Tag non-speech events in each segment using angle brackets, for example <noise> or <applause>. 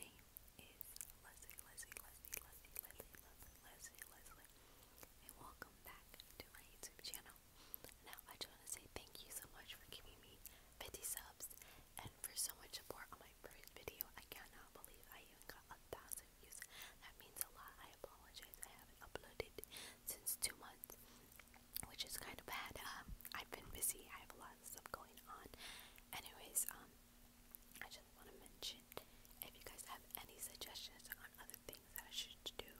name is Leslie, Leslie, Leslie, Leslie, Leslie, Leslie, Leslie, and welcome back to my YouTube channel. Now, I just want to say thank you so much for giving me 50 subs and for so much support on my first video. I cannot believe I even got a thousand views. That means a lot. I apologize. I haven't uploaded since two months, which is kind of bad. Um, I've been busy. I have a lot of stuff going on. Anyways, um, I just want to mention if you guys have any suggestions on other things that I should do,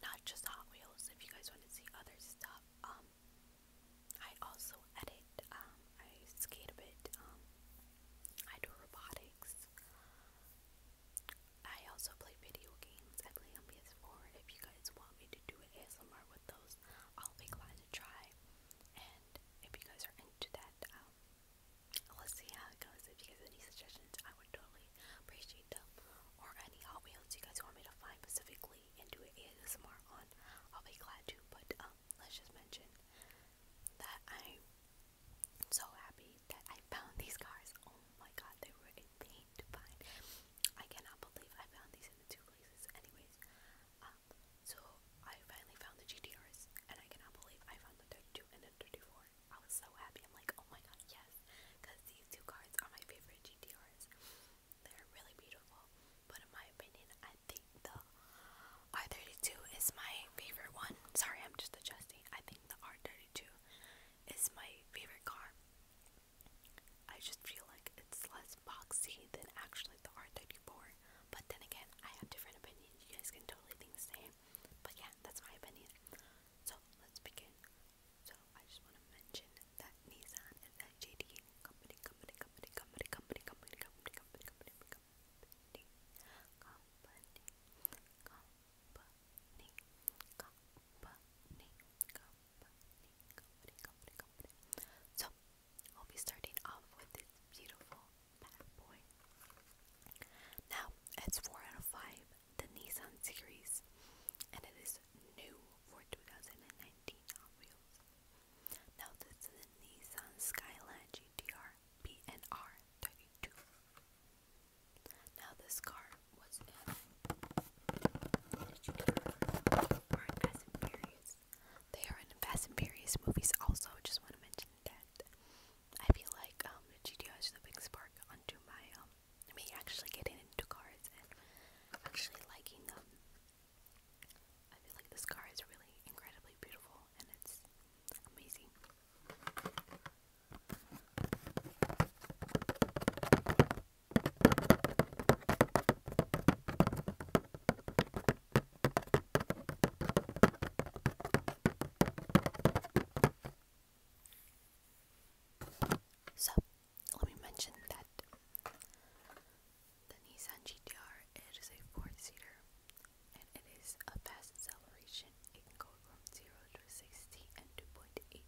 not just Hot Wheels, if you guys want to see other stuff, um, I also edit, um, I skate a bit, um, I do robotics, I also play video games, I play on PS4, if you guys want me to do an ASMR with those, I'll be glad to try. And if you guys are into that, um, let's see how it goes. If you guys have any suggestions, I would totally appreciate them. Or any Hot Wheels you guys want me to find specifically and do ASMR on, I'll be glad to. But um, let's just mention that I'm so happy that I found these cars. Oh my god, they were a pain to find. I cannot believe I found these in the two places. Anyways, so I finally found the GTRs, and I cannot believe I found the 32 and the 34. I was so happy. I'm like, oh my god, yes, because these two cards are my favorite GTRs. They're really beautiful, but in my opinion, I think the R32 is my favorite one. Sorry, I'm just adjusting. I think the R32 is my favorite car. I just feel like it's less boxy than actually the R34. But then again, I have different opinions. You guys can totally think the same. But yeah, that's my opinion. So let's begin. So I just want to mention that Nissan is a JD company, company, company, company, company, company, company, company, company, company, company, company, company, company company, company, So, I'll be starting off with this beautiful bad boy. Now, it's 4 out of 5, the Nissan series, and it is new for 2019 Now, this is the Nissan Skyline GTR BNR 32. Now, this car they are in Fast and Furious movies also, just want to mention that. I feel like um, the GTR is the big spark onto my, um, I mean, actually getting into cars and actually liking them. I feel like this car is really incredibly beautiful and it's amazing. So, let me mention that the Nissan GTR it is a four-seater and it is a fast acceleration. It can go from 0 to 60 in 2.8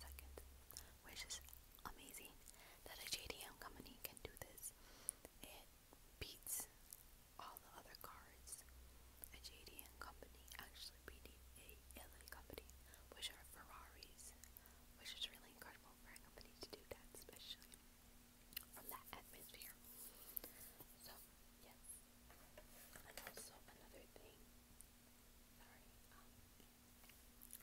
seconds which is amazing that a JDM company can do this. It beats all the other cards. A JDM company actually beating a LA company, which are Ferraris, which is really incredible for a company to do that, especially from that atmosphere. So yes, and also another thing Sorry. Um,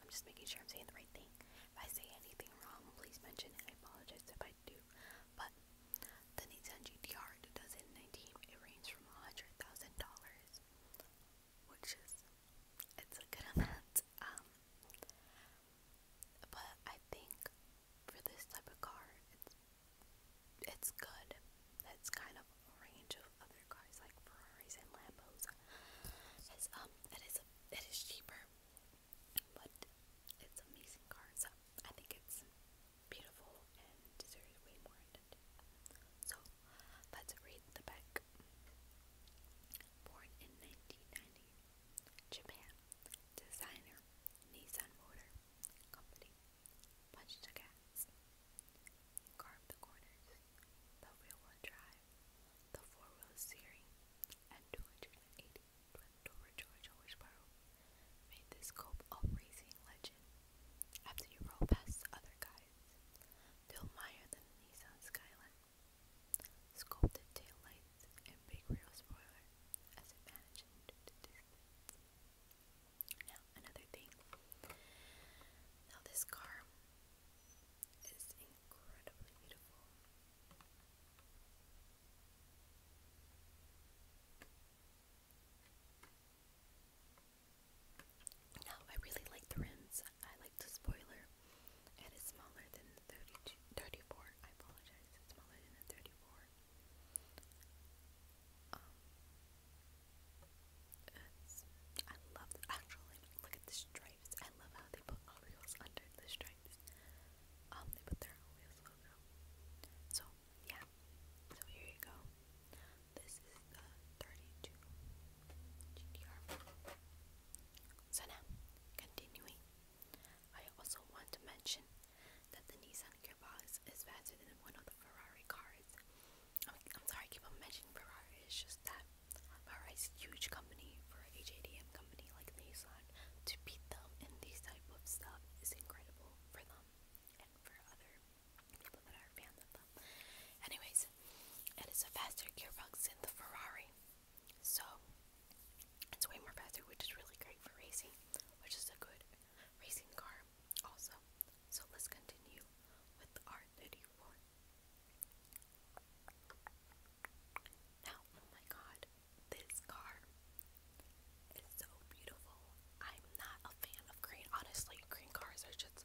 I'm just making sure I'm saying the right thing. If I say anything wrong, please mention it. I apologize if I do. But the Nissan GTR 2019, it ranged from $100,000, which is, it's a good <laughs> amount. Um, but I think for this type of car, it's good. It's kind of a range of other cars like Ferraris and Lambos. It's um it is a, it is cheaper, but it's amazing car. I think it's beautiful and deserves way more attention. So let's read the back. Born in 1990, Japan. Designer, Nissan Motor Company. Punch the cats. Carve the corners, the rear-wheel drive, the four-wheel steering, and 280 twin George Horseborough made this cope a racing legend. After you roll past other guys, they'll admire the Nissan Skyline. Sculpted taillights and big rear spoiler as it managed to distance. Now, another thing. Now, this car is incredibly beautiful. Now, I really like the rims. I like the spoiler. It is smaller than the I apologize. It's smaller than 34. Um, I love Actually, look at the stripes. I love how they put Oreos under the stripes. Um, they put their Oreos logo. So, yeah. So here you go. This is the 32 GTR. So now, continuing. I also want to mention that the Nissan Gearbox is faster than one of the Ferrari cars. I'm, I'm sorry, I keep on mentioning Ferrari. It's just that Ferrari's huge company for a JDM company like Nissan to beat them in these type of stuff is incredible for them and for other people that are fans of them. Anyways, it is a faster gearbox than the Ferrari, so it's way more faster, which is really great for racing, which is a good racing car also. So let's continue with R34. Now, oh my god, this car is so beautiful. I'm not a fan of green. Honestly, green cars are just,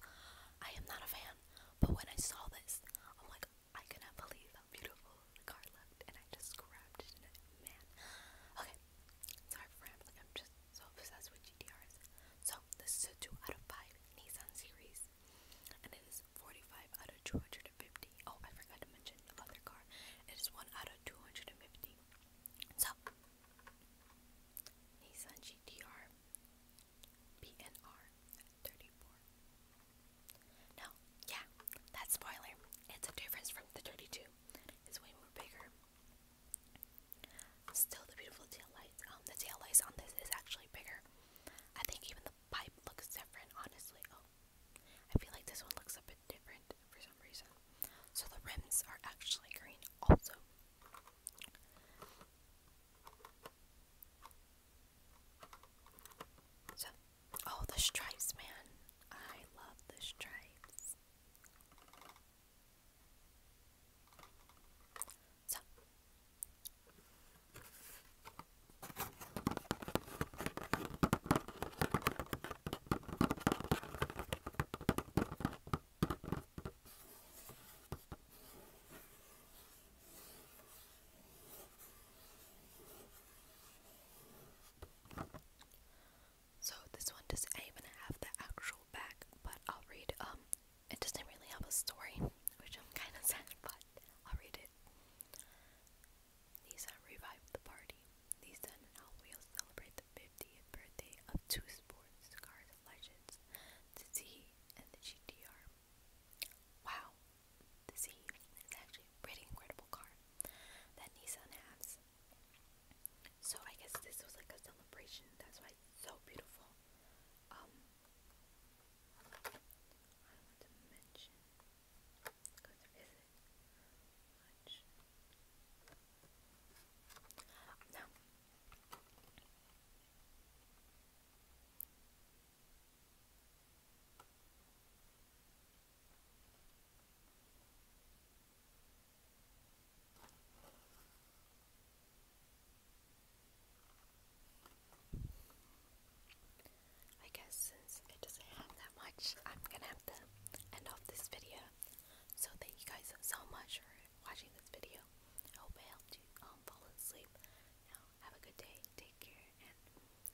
I am not a fan. But when I saw this, I'm like, I cannot believe how beautiful the car looked. And I just grabbed it. Man. Okay, Sorry for rambling. I'm just so obsessed with GTRs. So this is a two out of five Nissan series, and it is 45 out of 250. Oh, I forgot to mention the car. It is one out of 250. So Nissan GTR PNR 34. Now, yeah, that spoiler. It's a difference from the 32. It's way more bigger. Still the beautiful tail lights. Um, the tail lights on this is actually bigger. I think even the pipe looks different, honestly. Oh, I feel like this one looks a bit different for some reason. So the rims are actually green also. So Oh, the stripes, man. I love the stripes. So. So this one doesn't even have the actual back, but I'll read, um, it doesn't really have a story, which I'm kind of sad, but I'll read it. Nissan revived the party. Nissan and Hot celebrate the 50th birthday of two sports cars legends, the Z and the GTR. Wow, the Z is actually pretty incredible car that Nissan has. So I guess this was like a celebration. That's why it's so beautiful. Um, I want to mention because there isn't much. Now, I guess since it doesn't have that much, I'm gonna have to end off this video. So thank you guys so much for watching this video. I hope I helped you um, fall asleep. have a good day, take care,